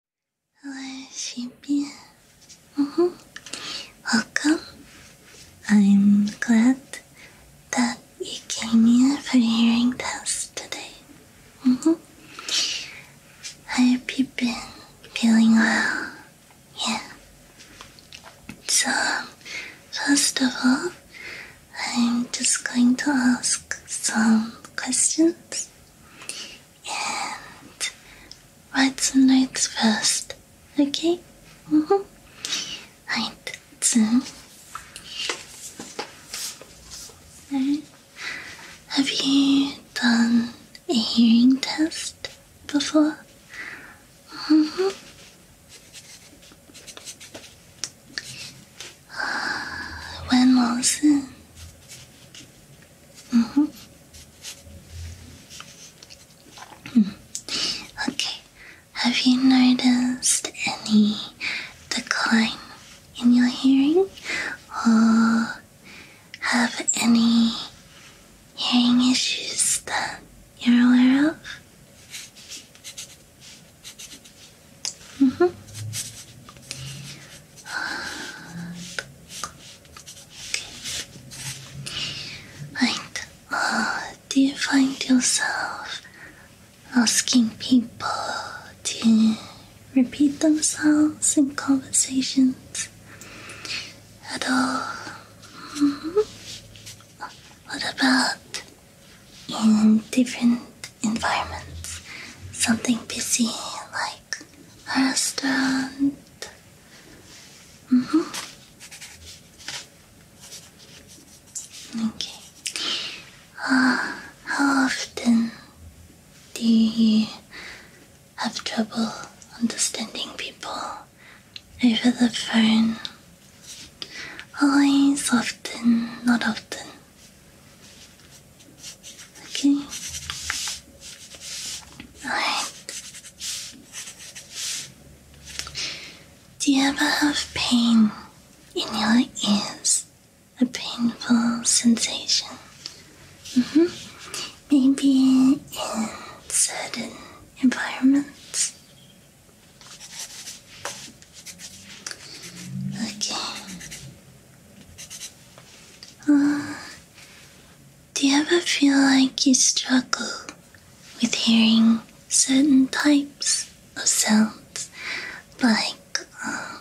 Hello, 来洗遍。Mm -hmm. Uh-huh. Welcome. I'm glad that you came here for the hearing test today. Mm -hmm. I hope you've been feeling well. Yeah. So, first of all, I'm just going to ask some questions and write some notes first, okay? -hmm. Right, so have you done a hearing test before? -hmm. When was it? Mm -hmm. Okay, have you noticed any decline in your hearing or have any hearing issues that you're aware of? Mm -hmm. Right. Uh, do you find yourself asking people to repeat themselves in conversations at all? Mm-hmm. What about in different environments? Something busy like like a restaurant. Okay. Uh, how often do you have trouble understanding people over the phone? Always, often, not often. Okay. Alright. Do you ever have pain in your ears? A painful sensation? Mm hmm. Maybe in certain environments? Okay. Uh, do you ever feel like you struggle with hearing certain types of sounds, like uh,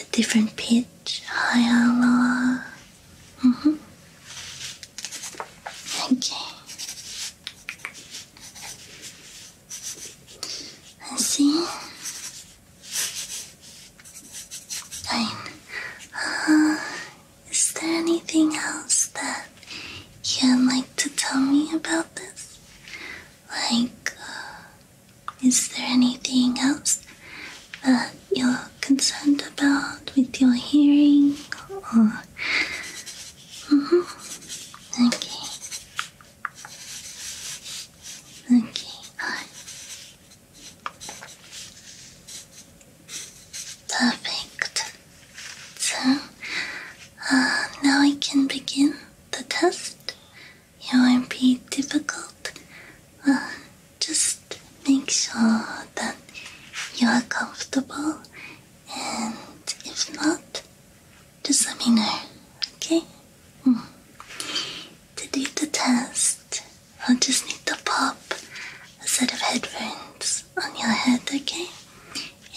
a different pitch, high or low? Mm -hmm. Okay. I see. Fine. Uh, is there anything else that you'd like to tell me about this? Like, uh, is there anything else that you're concerned about with your hearing? Or... Mm -hmm. Okay. Okay, on. Perfect. So, uh, now I can begin the test. It won't be difficult. Uh, just make sure that you are comfortable, and if not, just let me know. Okay? Hmm. To do the test, I'll just need to pop a set of headphones on your head, okay?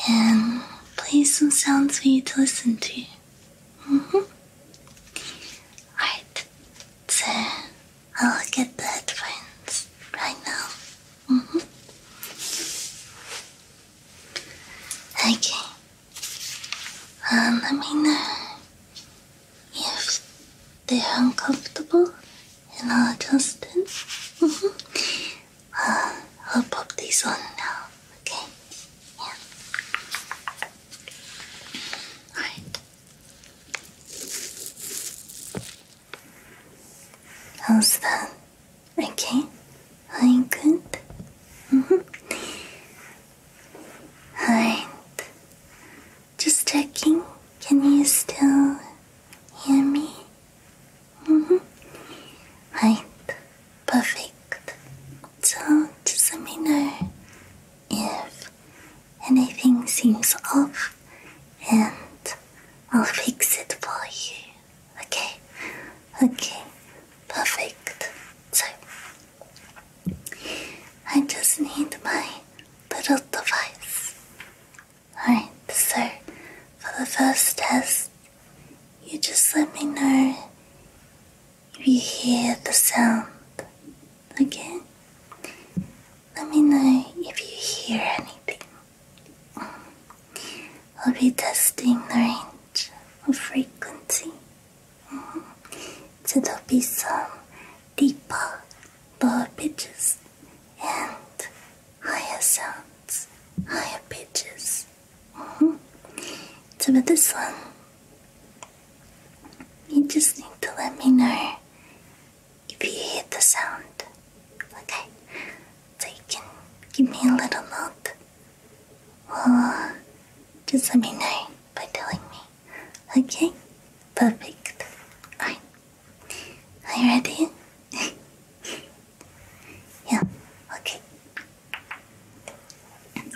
And play some sounds for you to listen to. -hmm. Alright, so I'll get the headphones right now. -hmm. Okay, let um, me know uh, if they're uncomfortable and I'll adjust it. Mm-hmm. Uh, I'll pop these on now, okay? Yeah. Alright. How's that? Okay, I'm good. Mm-hmm. Alright. Just checking. Can you still hear me? Mm-hmm. Right. Perfect. So just let me know if anything seems off and I'll fix it for you. Okay? Okay. Perfect. So I just need my little device. Alright, so for the first test, you just let me know if you hear the sound. again. Let me know if you hear anything. I'll be testing the range of frequency. So there'll be some deeper, lower pitches and higher sounds, higher pitches. Mm -hmm. this one, you just need to let me know if you hear the sound. Okay? So you can give me a little note just let me know by telling me. Okay? Perfect. Alright. Are you ready? yeah, okay. Here we go.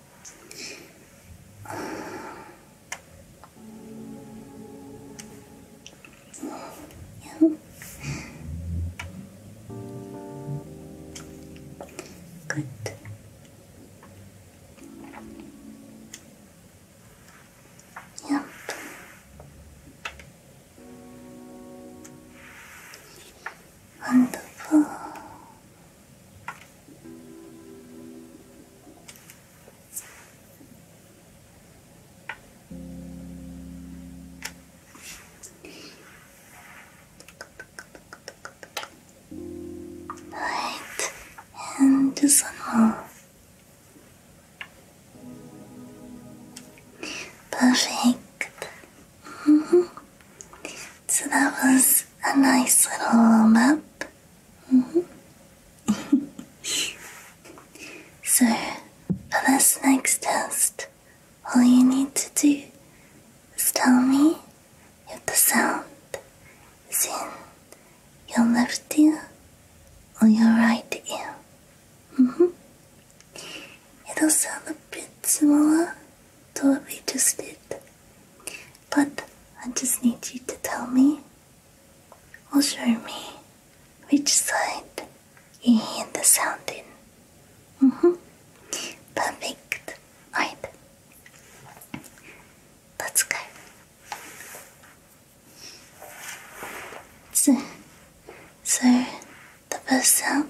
Good. Yep. Wonderful. Right, and this Perfect. So that was a nice little warm up. Mm-hmm. so, for this next test, all you need to do is tell me if the sound is in your left ear or your right ear. Mm-hmm. It'll sound a bit smaller, don't we just did. But I just need you to tell me or show me which side you hear the sound in. Mm -hmm. Perfect. Right. Let's go. So, so the first sound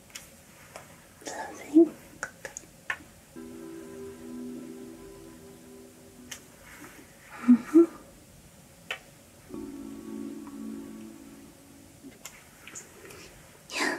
something. Mm -hmm. Yeah.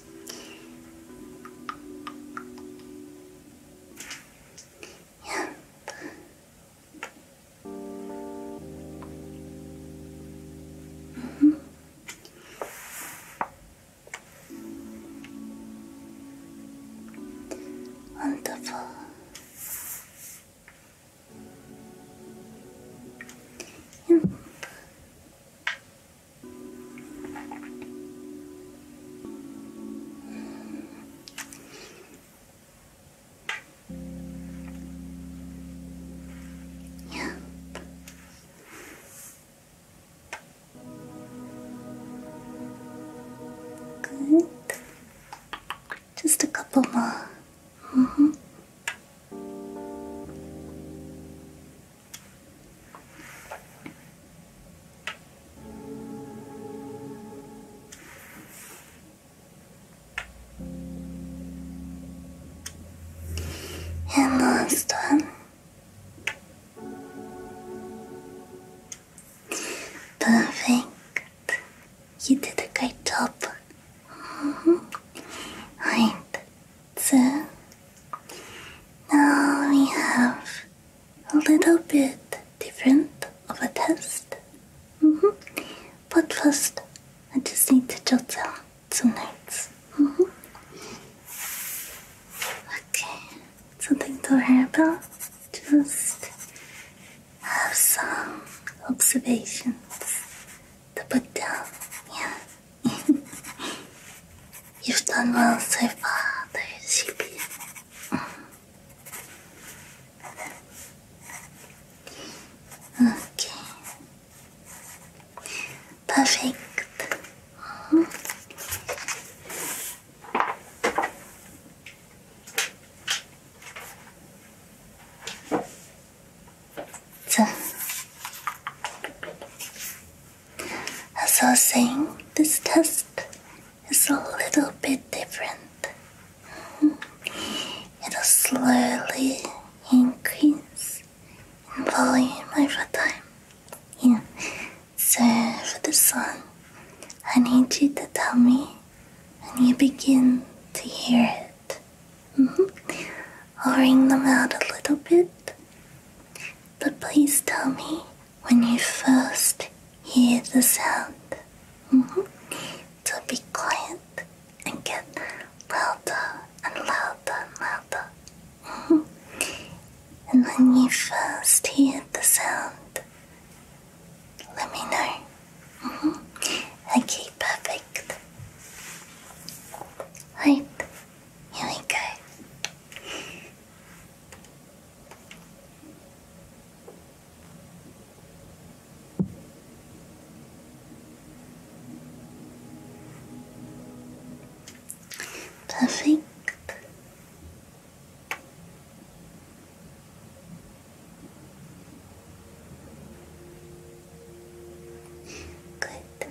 Yep. Mm Wonderful. Yeah. Good. Just a couple more. Mm -hmm. And last one. Perfect. You did a great job. -hmm. Right. So Now we have a little bit different of a test. -hmm. But first, I just need to jot down some notes. -hmm. Okay, something to write about. Just have some observations to put down. Yeah. You've Yo estando sepa del sitio. Okay. Perfect. So. As I was saying, this test is a little bit different. It'll slowly increase in volume over time. Yeah. So for this one, I need you to tell me when you begin to hear it. I'll mm-hmm. ring them out a little bit but please tell me when you first hear the sound. Mm be quiet and get louder and louder and louder. Mm-hmm. And when you first hear the sound, let me know. Mm-hmm. Okay, perfect. Right. You Perfect. Good.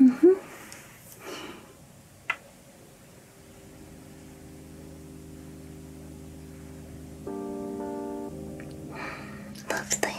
Mm-hmm. Lovely. Okay.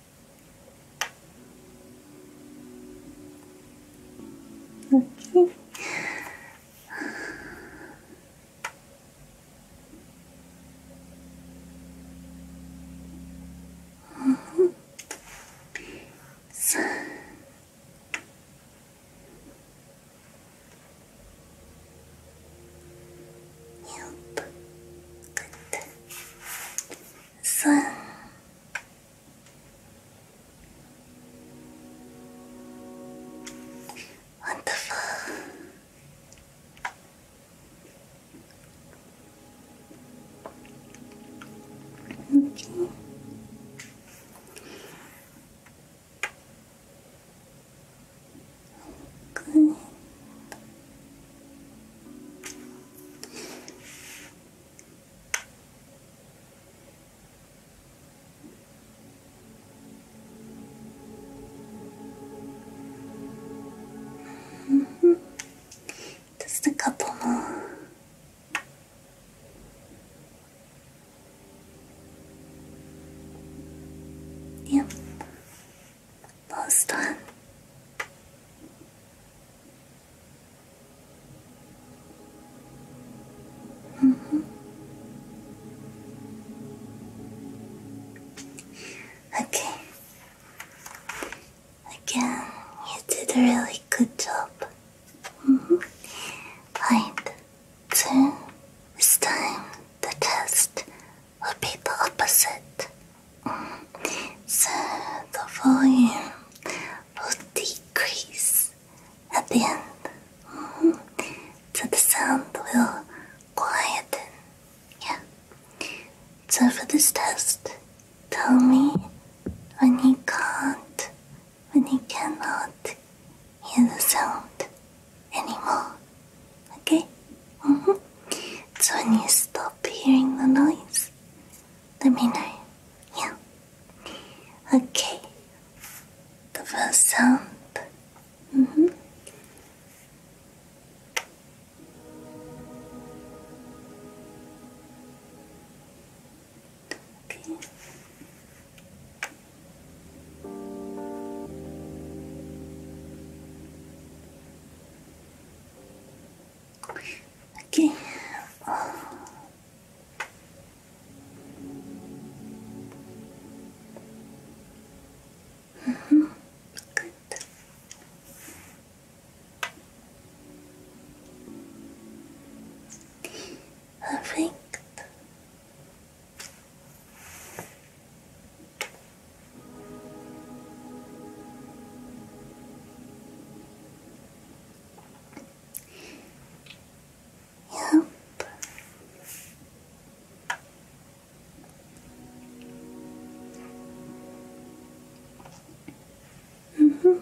Okay. Uh -huh. Good sun. Wonderful. Okay. Good. Mm -hmm. Just a couple more. Yep. Boston mm mm-hmm. Okay. Again, you did a really good job. Right. Mm-hmm. So, this time the test Will be the opposite. So the volume will decrease at the end. Mm-hmm. So the sound will quieten. Yeah. So for this test, tell me when you can't, when you cannot hear the sound anymore. Okay? Mm -hmm. So when you stop hearing the noise, let me know. Yeah? Okay. The first sound. Mm -hmm. Okay. Okay. Good. Perfect. Help. Mm -hmm.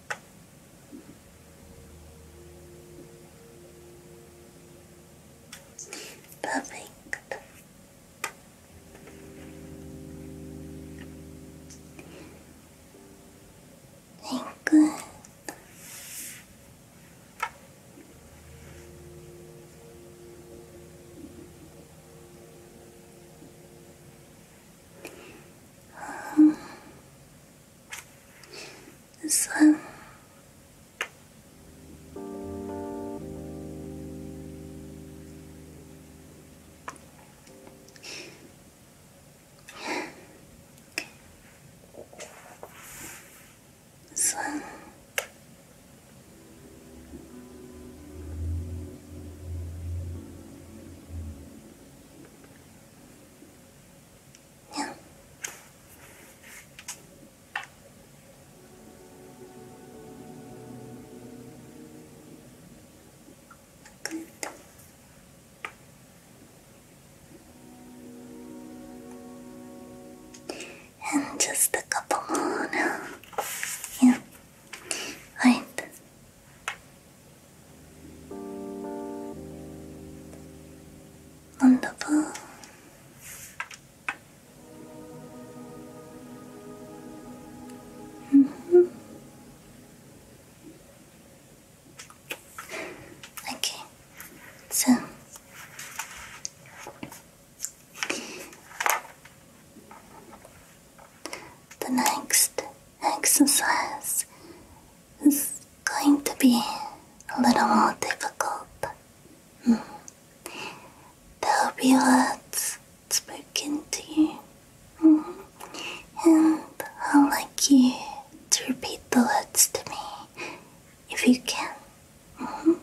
Perfect. Very good. Um, this one. Uh, one. And just a couple more now. Yeah. Right. Wonderful. Mm -hmm. Okay, so the next exercise it's going to be a little more difficult. Hmm. There'll be words spoken to you, hmm. and I'd like you to repeat the words to me if you can. Hmm.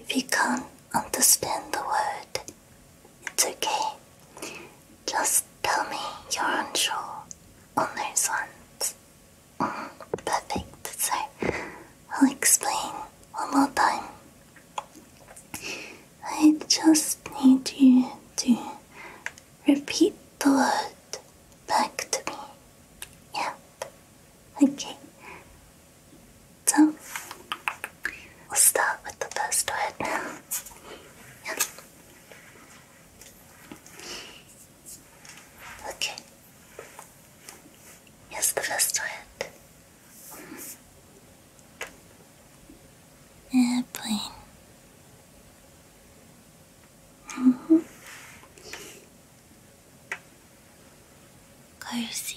If you can't understand the word, it's okay. Just tell me you're unsure on mm, those ones. perfect. So I'll explain one more time. I just need you to repeat the word back to me. Yep. Okay. So we'll start with the first word now. Yep. Okay. Here's the first word. Airplane. -hmm. Cozy.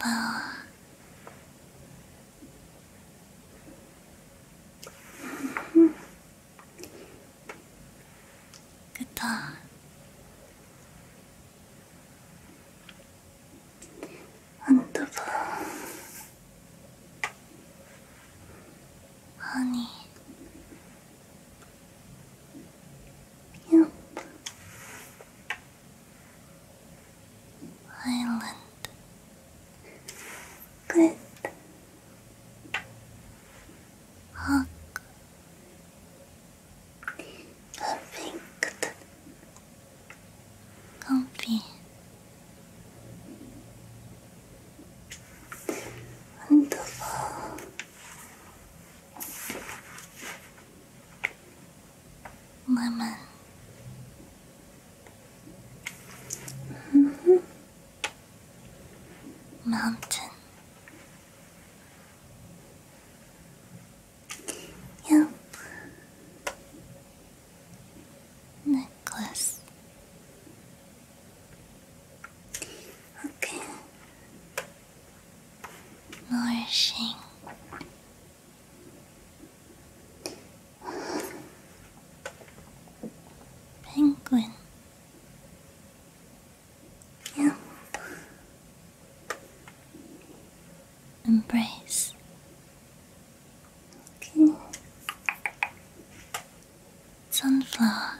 Hello. Good dog. Wonderful. Honey. Yep. Island. Good. Hawk. Perfect. Comfy. Wonderful lemon. -hmm. Mountain. Yep. Necklace. Okay nourishing. Penguin. Yep. Embrace. Sunflower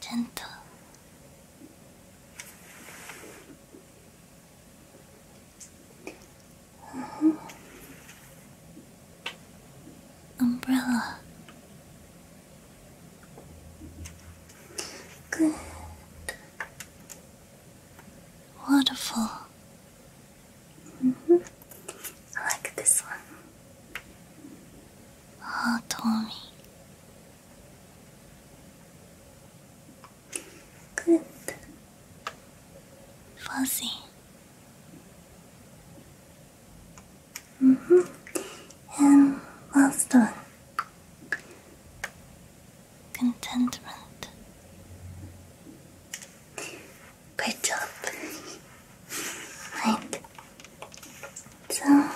gentle mm-hmm. umbrella good Waterfall. -hmm. I like this one. Ah, Tommy. Good. Fuzzy. -hmm. And last one. Contentment good job. Right. So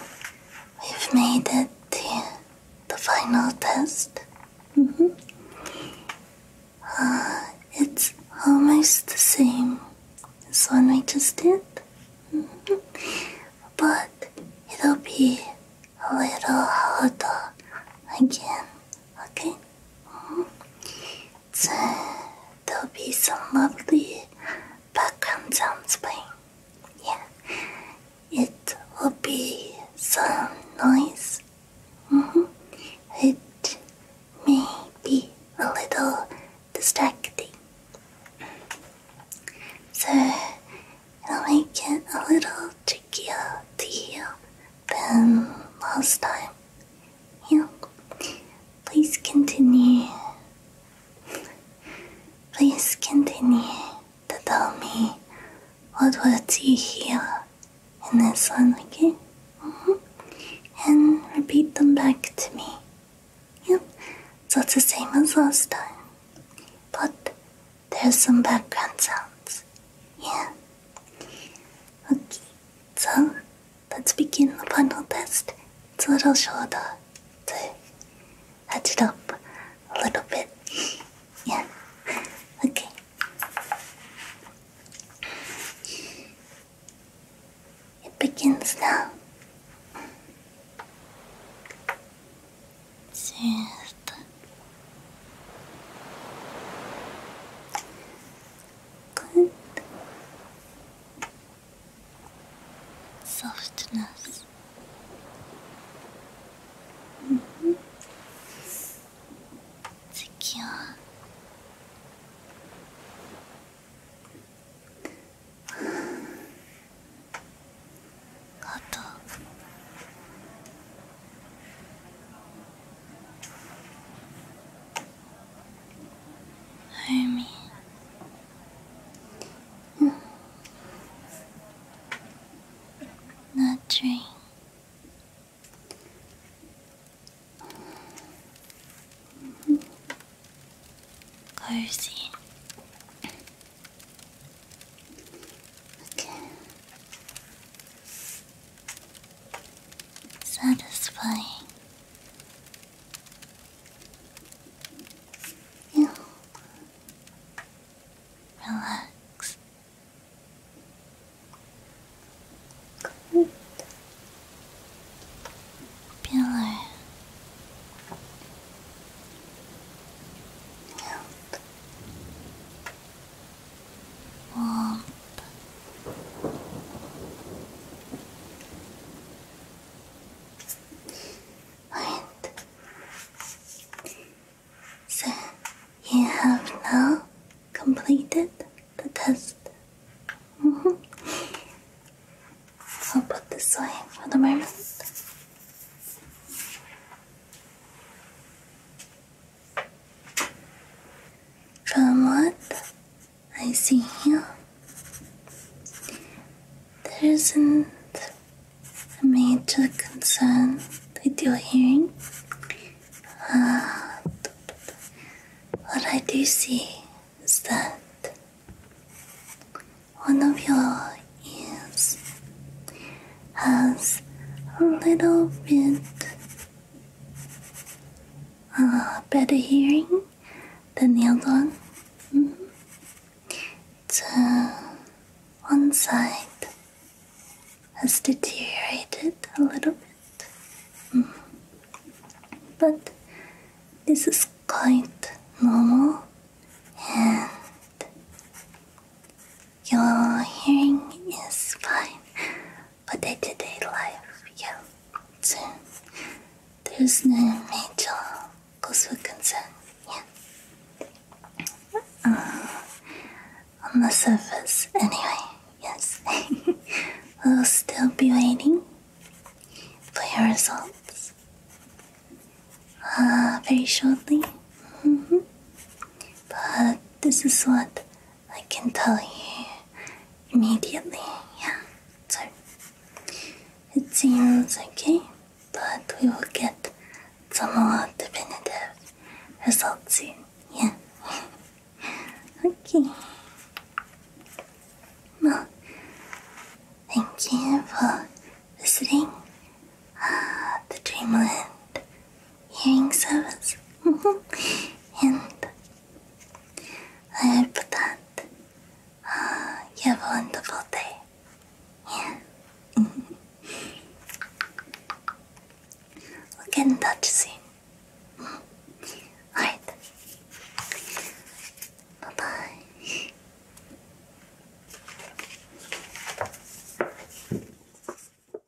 we've made it to the final test. Mm-hmm. uh, it's almost the same as one we just did, mm-hmm. but it'll be a little harder again. Okay. Mm-hmm. there'll be some lovely background sounds playing. Yeah, it will be some noise. Mm-hmm. It may be a little distracting. So i will make it a little trickier to hear than last time. You please continue. Please continue to tell me what words you hear in this one, again, mm-hmm. And repeat them back to me. Yep, That's the same as last time. But there's some background sounds. Yeah. Okay. So, let's begin the final test. It's a little shorter to hatch it up a little bit. Yeah. Okay. It begins now. Just Good. Softness. Mm-hmm. Secure. Auto. Homie. Mm. Not train. -hmm. Cozy. Okay satisfying. relax. Good. Pillar. Help warmth. Right. So you have now completed the test. Mm-hmm. I'll put this away for the moment. From what I see here, there isn't a major concern with your hearing. what I do see is that one of your ears has a little bit uh, better hearing than the other one. Mm one side has deteriorated a little bit, mm-hmm. but this is quite normal, and your hearing is fine for day-to-day life, yeah. So there's no major cause for concern, yeah. Uh, on the surface, anyway, yes. we'll still be waiting for your results uh, very shortly. Mm-hmm. But this is what I can tell you immediately, yeah. So it seems okay, but we will get some more definitive results soon, yeah. okay. Well, thank you for visiting uh, the Dreamland hearing service and I hope that uh, you have a wonderful day. Yeah. we'll get in Alright. Bye bye.